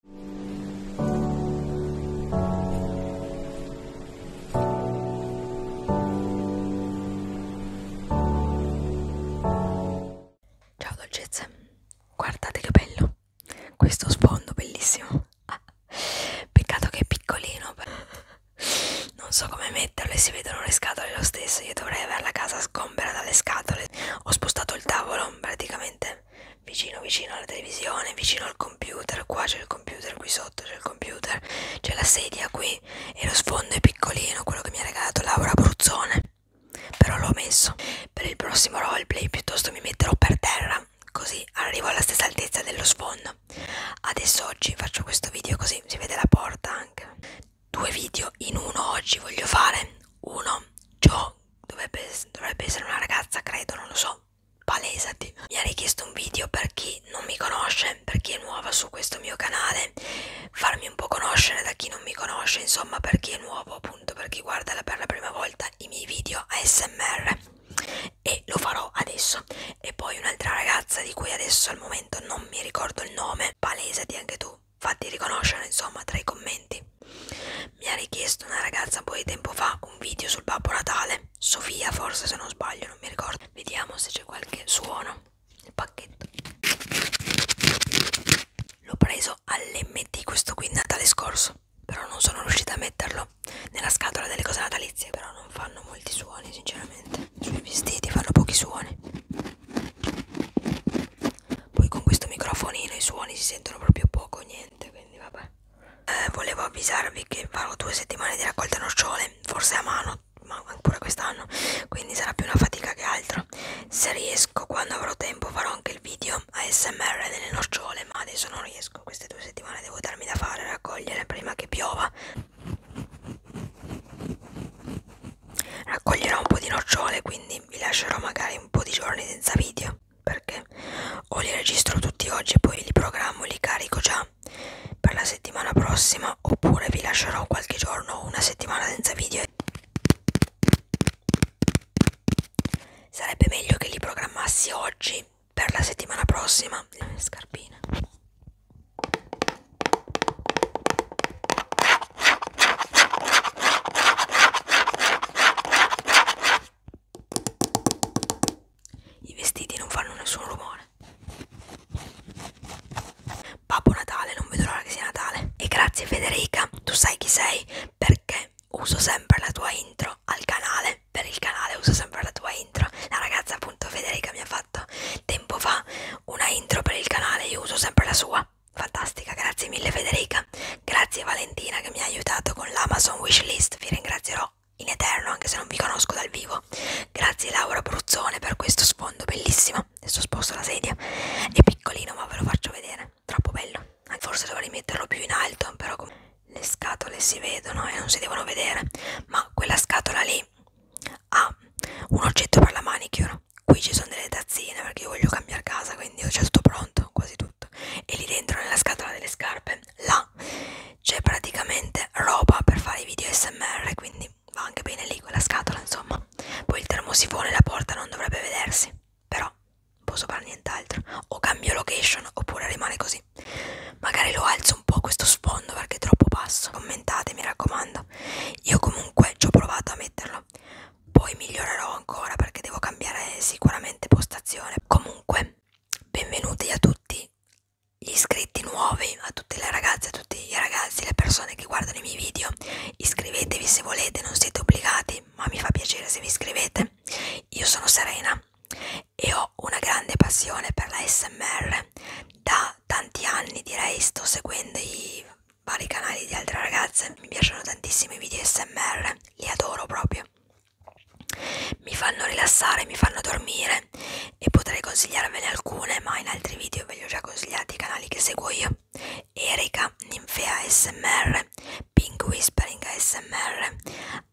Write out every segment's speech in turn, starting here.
Ciao dolcezze, guardate che bello questo sfondo bellissimo. Ah, peccato che è piccolino, non so come metterlo e si vedono le scatole lo stesso. Io dovrei avere la casa sgombera dalle scatole. Ho spostato il tavolo praticamente niente vicino vicino alla televisione vicino al computer qua c'è il computer qui sotto c'è il computer c'è la sedia qui e lo sfondo è piccolino quello che mi ha regalato Laura Bruzzone però l'ho messo per il prossimo roleplay piuttosto mi metterò per terra così arrivo alla stessa altezza dello sfondo adesso oggi faccio questo video così si vede la porta anche due video in uno oggi voglio fare uno ciò so, dovrebbe, dovrebbe essere una ragazza, credo, non lo so. Palesati. Mi ha richiesto un video per chi non mi conosce, per chi è nuova su questo mio canale, farmi un po' conoscere da chi non mi conosce, insomma, per chi è nuovo, appunto, per chi guarda per la prima volta i miei video ASMR. E lo farò adesso. E poi un'altra ragazza di cui adesso al momento non mi ricordo il nome, palesati anche tu fatti riconoscere insomma tra i commenti. Mi ha richiesto una ragazza un po' di tempo fa un video sul Babbo Natale, Sofia forse se non sbaglio, non mi ricordo. Vediamo se c'è qualche suono. Il pacchetto. L'ho preso all'MT questo qui Natale scorso, però non sono riuscita a metterlo nella scatola delle cose natalizie, però non fanno molti suoni sinceramente. I suoi vestiti fanno pochi suoni poi con questo microfonino i suoni si sentono proprio poco niente quindi vabbè eh, volevo avvisarvi che farò due settimane di raccolta nocciole forse a mano ma ancora quest'anno quindi sarà più una fatica che altro se riesco quando avrò tempo farò anche il video ASMR delle nocciole ma adesso non riesco queste due settimane devo darmi da fare raccogliere prima che piova raccoglierò un po' di nocciole quindi vi lascerò magari un po' di giorni senza video perché o li registro tutti oggi e poi li programmo li carico già per la settimana prossima oppure vi lascerò qualche giorno una settimana senza video sarebbe meglio che li programmassi oggi per la settimana prossima scarpina i vestiti non fanno nessun rumore. Babbo Natale, non vedo l'ora che sia Natale. E grazie Federica, tu sai chi sei perché uso sempre la tua intro al canale. Per il canale uso sempre la tua intro. La ragazza appunto Federica mi ha fatto tempo fa una intro per il canale, io uso sempre la sua fantastica, grazie mille Federica, grazie Valentina che mi ha aiutato con l'Amazon Wishlist, vi ringrazierò in eterno anche se non vi conosco dal vivo, grazie Laura Bruzzone per questo sfondo bellissimo, adesso sposto la sedia, è piccolino ma ve lo faccio vedere, troppo bello, forse dovrei metterlo più in alto, però le scatole si vedono e non si devono vedere, ma quella scatola lì ha un oggetto per la manicure qui ci sono delle tazzine perché io voglio cambiare casa quindi ho già tutto pronto quasi tutto e lì dentro nella scatola delle scarpe là c'è praticamente roba per fare i video smr quindi va anche bene lì quella scatola insomma poi il termosifone la porta non dovrebbe vedersi però non posso fare nient'altro o cambio location oppure rimane così magari lo alzo un po' questo sfondo perché è troppo basso commentate mi raccomando facendo io comunque ci ho provato a metterlo poi migliorerò ancora perché devo cambiare sicuramente postazione comunque benvenuti a tutti gli iscritti nuovi a tutte le ragazze a tutti i ragazzi le persone che guardano i miei video iscrivetevi se volete non siete obbligati ma mi fa piacere se vi iscrivete io sono Serena e ho una grande passione per la smr da tanti anni direi sto seguendo i vari canali di altre ragazze mi piacciono tantissimi video smr li adoro proprio mi fanno rilassare mi fanno dormire e potrei consigliarvene alcune ma in altri video ve li ho già consigliati i canali che seguo io Erika Ninfea smr Pink Whispering ASMR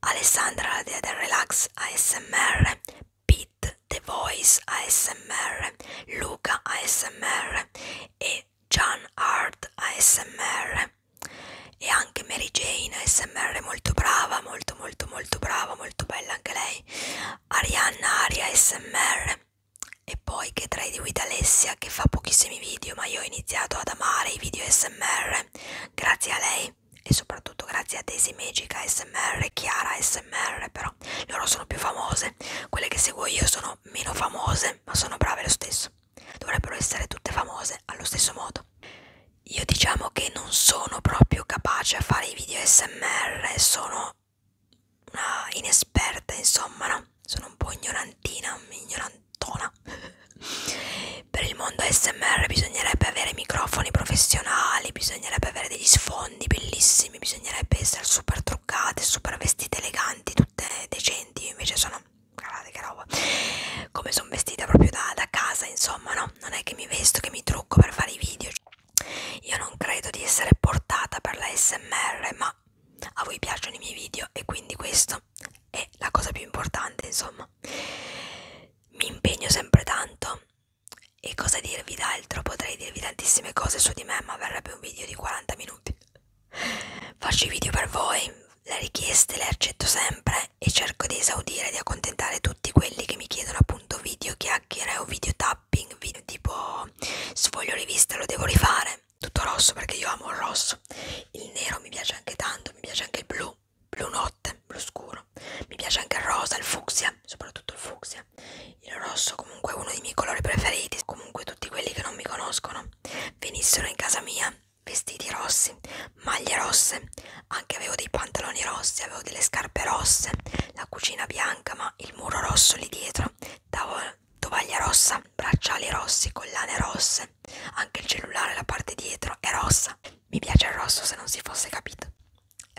Alessandra la dea del relax ASMR Pete The Voice ASMR, Luca ASMR e Jan Hart ASMR e anche Mary Jane ASMR molto brava, molto molto molto brava, molto bella anche lei, Arianna Aria ASMR e poi che tra i di With Alessia che fa pochissimi video ma io ho iniziato ad amare i video ASMR grazie a lei e soprattutto grazie a Daisy Magic ASMR, Chiara ASMR per Sierra. Loro sono più famose, quelle che seguo io sono meno famose, ma sono brave lo stesso. Dovrebbero essere tutte famose allo stesso modo. Io diciamo che non sono proprio capace a fare i video SMR, sono una inesperta, insomma, no? Sono un po' ignorantina, ignorantona. per il mondo SMR bisognerebbe avere microfoni professionali, bisognerebbe avere degli sfondi biondi bellissimi bisognerebbe essere super truccate super vestite eleganti tutte decenti invece sono guardate che roba come sono vestita proprio da, da casa insomma no non è che mi vesto che mi trucco per fare i video io non credo di essere portata per la smr ma a voi piacciono i miei video e quindi questo è la cosa più importante insomma mi impegno sempre tanto e cosa dirvi d'altro? Potrei dirvi tantissime cose su di me, ma verrebbe un video di 40 minuti. Faccio i video per voi, le richieste le accetto sempre e cerco di esaudire, di accontentare tutti quelli che mi chiedono appunto video chiacchiere o video tapping, video tipo sfoglio rivista, lo devo rifare. Tutto rosso perché io amo il rosso. Il nero mi piace anche tanto, mi piace anche il blu, blu notte, blu scuro no mi piace anche il rosa il fucsia soprattutto il fucsia il rosso comunque è uno dei miei colori preferiti comunque tutti quelli che non mi conoscono venissero in casa mia vestiti rossi maglie rosse anche avevo dei pantaloni rossi avevo delle scarpe rosse la cucina bianca ma il muro rosso lì dietro davo tovaglia rossa bracciali rossi collane rosse anche il cellulare la parte dietro è rossa mi piace il rosso se non si fosse capito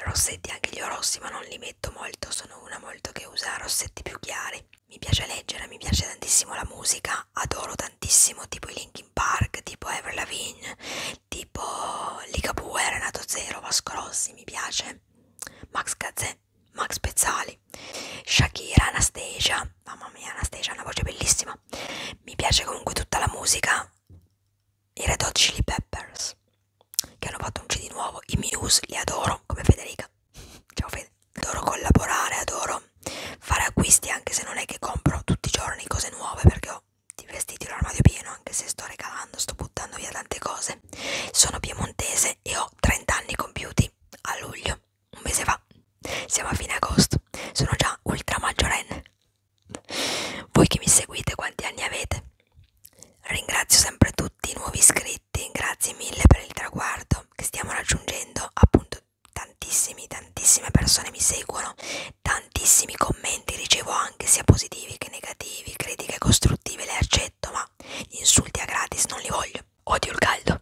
rossetti anche gli orossi ma non li metto molto sono una molto che usa rossetti più chiari mi piace leggere mi piace tantissimo la musica adoro tantissimo tipo i Linkin Park tipo Avril Lavigne tipo Ligabue Renato Zero Vasco Rossi mi piace Max Gazzè Max Pezzali Shakira Anastasia mamma mia Anastasia ha una voce bellissima mi piace comunque tutta la musica i Red Hot Chili Peppers che hanno fatto un CD nuovo, i Minus li adoro come Federica, ciao Fede, adoro collaborare, adoro fare acquisti anche se non è che compro tutti i giorni cose nuove perché ho di vestiti l'armadio pieno anche se sto regalando, sto buttando via tante cose, sono piemontese e ho 30 anni compiuti a luglio, un mese fa, siamo a fine agosto, sono già ultra maggiorenne voi che mi seguite, quanti anni avete? Ringrazio sempre tutti i nuovi iscritti, grazie mille per il traguardo che stiamo raggiungendo, appunto tantissimi, tantissime persone mi seguono, tantissimi commenti ricevo anche sia positivi che negativi, critiche costruttive le accetto, ma gli insulti a gratis non li voglio. Odio il caldo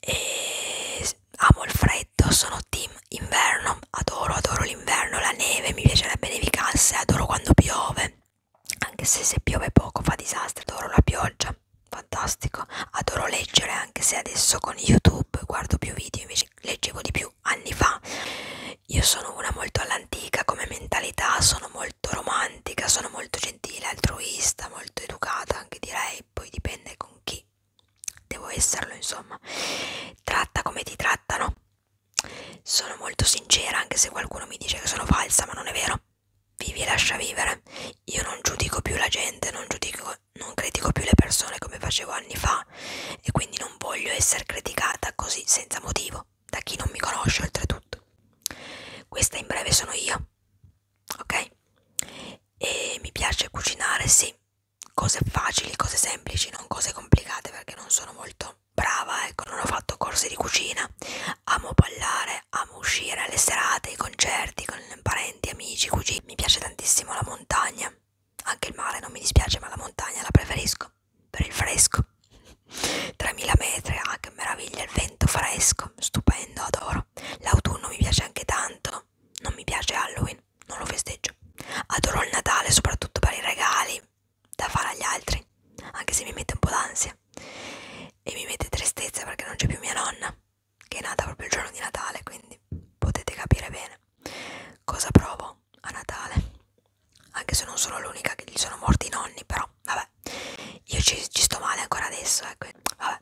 e amo il freddo, sono sono team inverno, adoro, adoro l'inverno, la neve, mi piacerebbe nevicasse, adoro quando piove, anche se se piove poco fa disastri, adoro la pioggia, fantastico, adoro leggere anche se adesso con YouTube guardo più video, invece leggevo di più anni fa. Io sono una molto all'antica come mentalità, sono molto romantica, sono molto gentile, altruista, molto educata anche direi, poi dipende con chi devo esserlo insomma tratta come ti trattano sono molto sincera anche se qualcuno mi dice che sono falsa ma non è vero vivi e lascia vivere io non giudico più la gente non giudico non critico più le persone come facevo anni fa e quindi non voglio essere criticata così senza motivo da chi non mi conosce oltretutto questa in breve sono io ok e mi piace cucinare sì cose facili, cose semplici, non cose complicate perché non sono molto brava, ecco, non ho fatto corsi di cucina, amo ballare, amo uscire alle serate, ai concerti con parenti, amici, cugini, mi piace tantissimo la montagna, anche il mare non mi dispiace ma la montagna la preferisco per il fresco, 3000 metri, ah che meraviglia, il vento fresco, stupendo, adoro, l'autunno mi piace anche tanto, non mi piace Halloween, non lo festeggio. Adoro il Natale soprattutto per i regali da fare agli altri, anche se mi mette un po' d'ansia e mi mette tristezza perché non c'è più mia nonna, che è nata proprio il giorno di Natale, quindi potete capire bene cosa provo a Natale. Anche se non sono l'unica che gli sono morti i nonni, però vabbè, io ci, ci sto male ancora adesso, ecco, vabbè.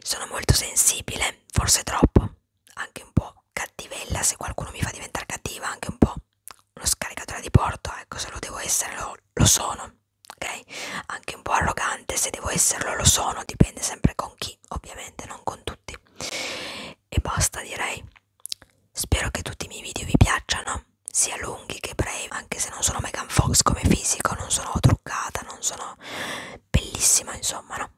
Sono molto sensibile, forse troppo, anche un po' cattivella, se qualcuno mi fa diventare cattiva, anche un po' uno scaricatore di porto, ecco, se lo devo essere lo, lo sono, ok? Anche un po' arrogante, se devo esserlo lo sono, dipende sempre con chi, ovviamente, non con tutti. E basta, direi. Spero che tutti i miei video vi piacciano, sia lunghi che brevi, anche se non sono Megan Fox come fisico, non sono truccata, non sono bellissima, insomma, no?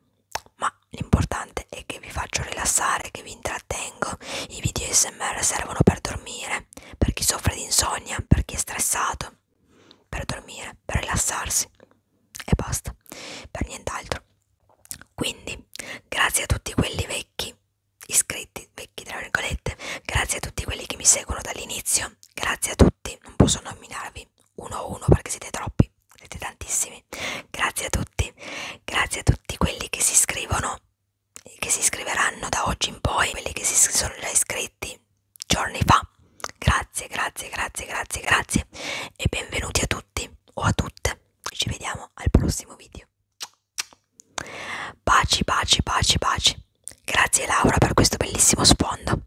ma l'importante è che vi faccio rilassare, che vi intrattengo. I video SMR servono per dormire, per chi soffre di insonnia, per chi è stressato, per dormire, per rilassarsi e basta, per nient'altro. Quindi, grazie a tutti quelli vecchi, iscritti, vecchi tra virgolette, grazie a tutti quelli che mi seguono dall'inizio, grazie a tutti, non posso nominarvi uno a uno perché siete troppi, siete tantissimi. Grazie a tutti, grazie a tutti quelli che si iscrivono, che si iscriveranno da oggi in poi, quelli che si sono già iscritti giorni fa. Grazie, grazie, grazie, grazie, grazie e benvenuti a tutti o a tutte. Ci vediamo al prossimo video. Baci, baci, baci, baci. Grazie Laura per questo bellissimo sfondo.